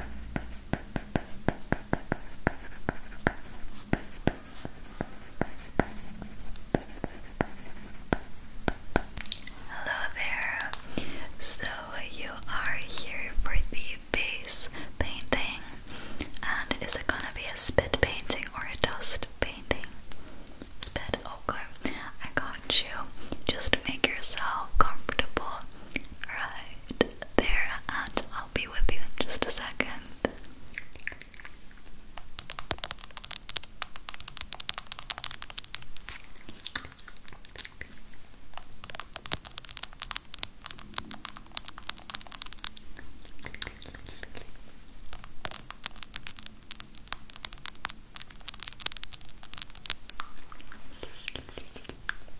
Hello there. So you are here for the base painting, and is it gonna be a spit painting or a dust painting? Spit. Okay, I got you. Just make yourself comfortable. Right there and I'll be with you in just a second.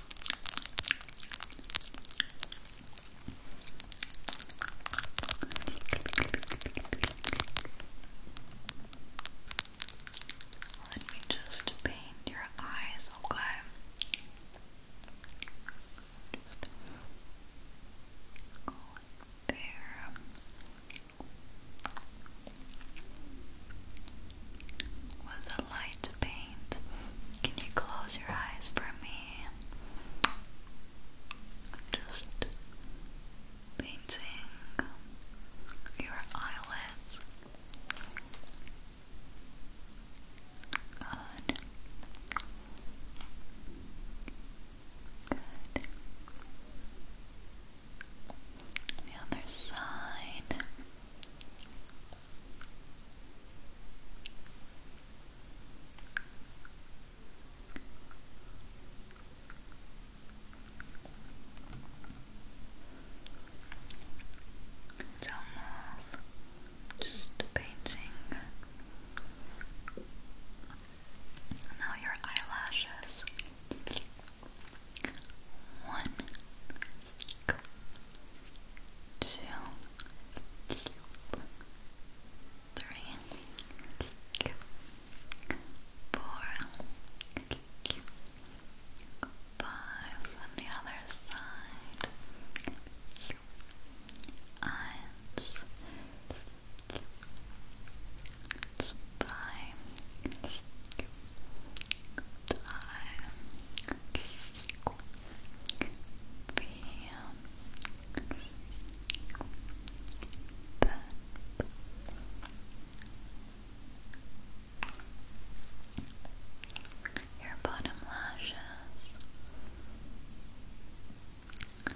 Let me just paint your eyes, okay? go there with a light paint. Can you close your eyes for me? Just painting your eyelids. Good. Good. The other side. It's more painting now your eyelashes. One, two, cube, on the other side, cube, eins, your bottom lashes. Good.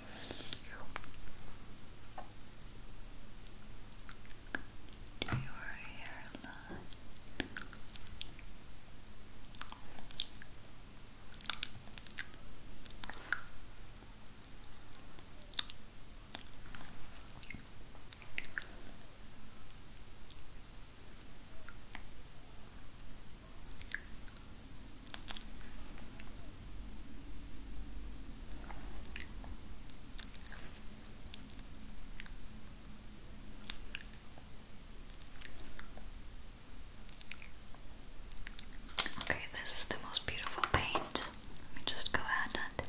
to your hairline. Okay, this is the most beautiful paint. Let me just go ahead and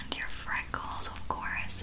And your freckles, of course.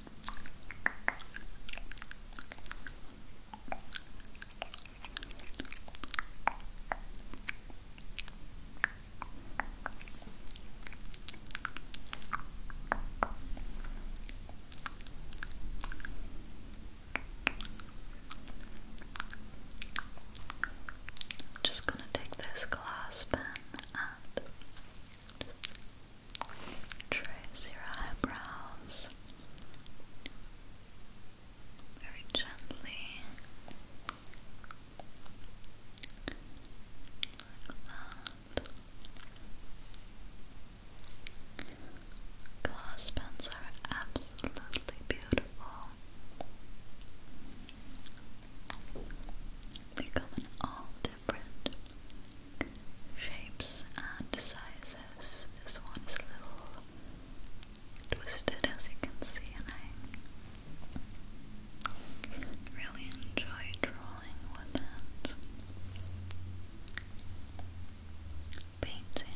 I'm just going to take this glass pen and Trace your eyebrows very gently. Glass pens are absolutely beautiful. They come in all different shapes and sizes. This one is a little twisted as you can see and I really enjoy drawing with it. Painting.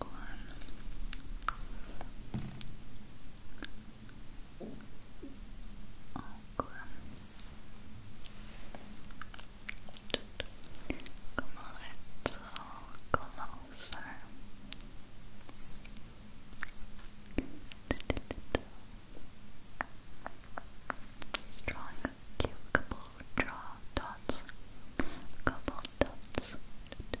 Come a little closer. Just a little. Just drawing a cute couple draw dots. A couple dots. And Good.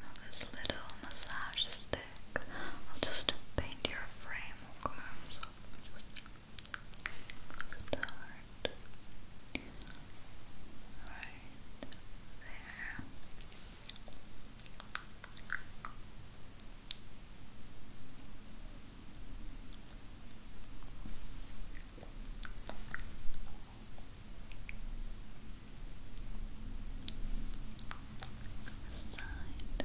Now this little massage stick will just paint your frame, okay? there. Side. Cool.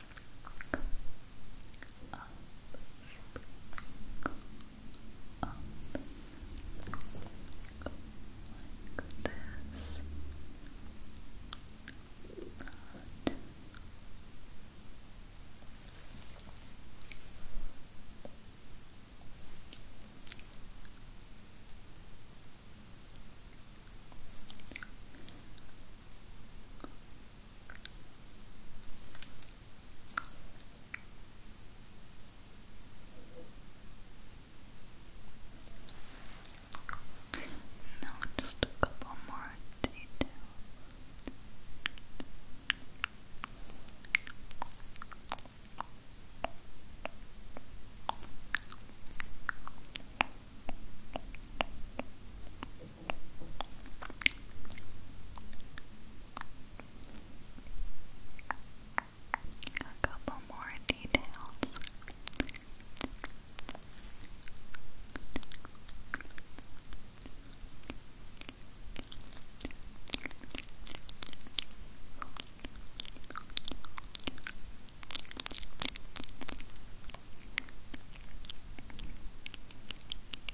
up, up, this. Now just a couple more details. A couple more details.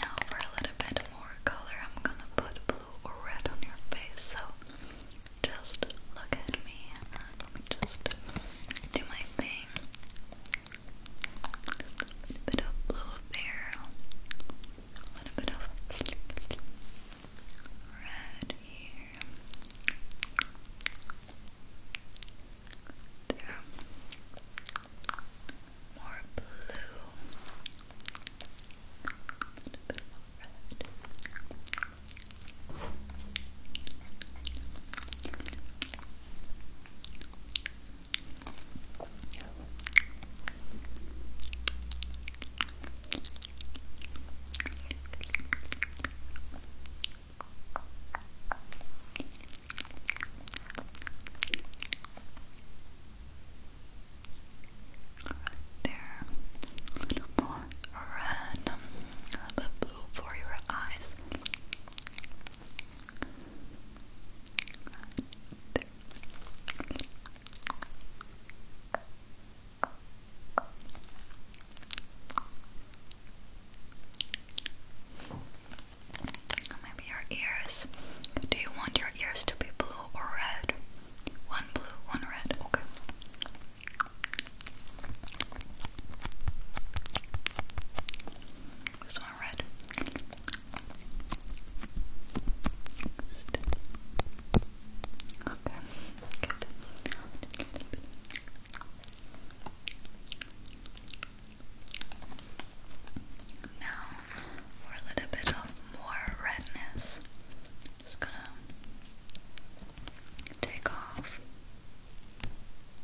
Now, for a little bit more color, I'm gonna put blue or red on your face. So just look at me uh, let me just do my thing. bit of blue there, a little bit of right here. There. More blue. A bit more red. Right Right there. more red, a blue for your eyes. Maybe your ears. Do you want your ears to be blue or red? One blue, one red. Okay. This one red. Okay. Now, for a little bit of more redness, I'm just gonna take off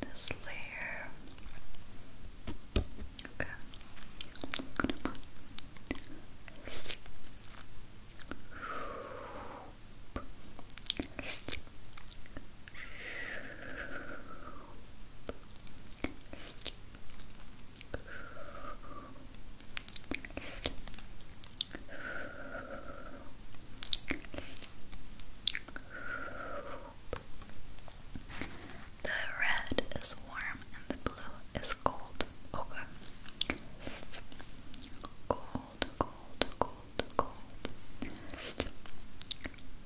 this layer. Okay. The red is warm and the blue is cold. Okay cold, cold, cold, cold.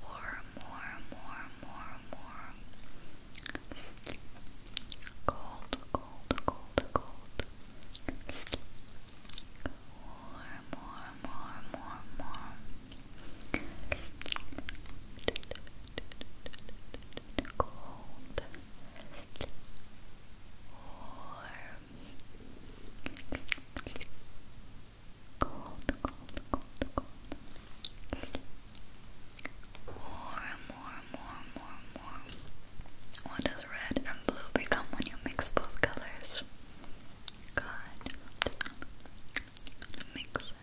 Or more, more, more, more. Cold, cold, cold, cold. More, more, more, more, more. Cold. Warm, Cold, cold, cold, cold. Warm, warm, warm, warm, warm. What does red and blue become when you mix both colors? God, I'm just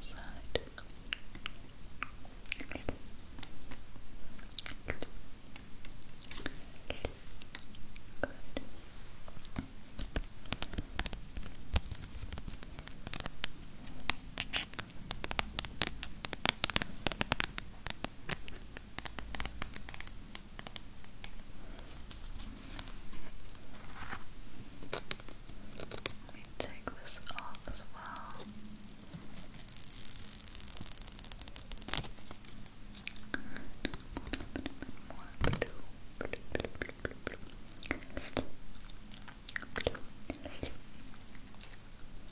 Side. Good. Let me take this off as well. A little blue, blue, blue, blue, blue, blue. blue.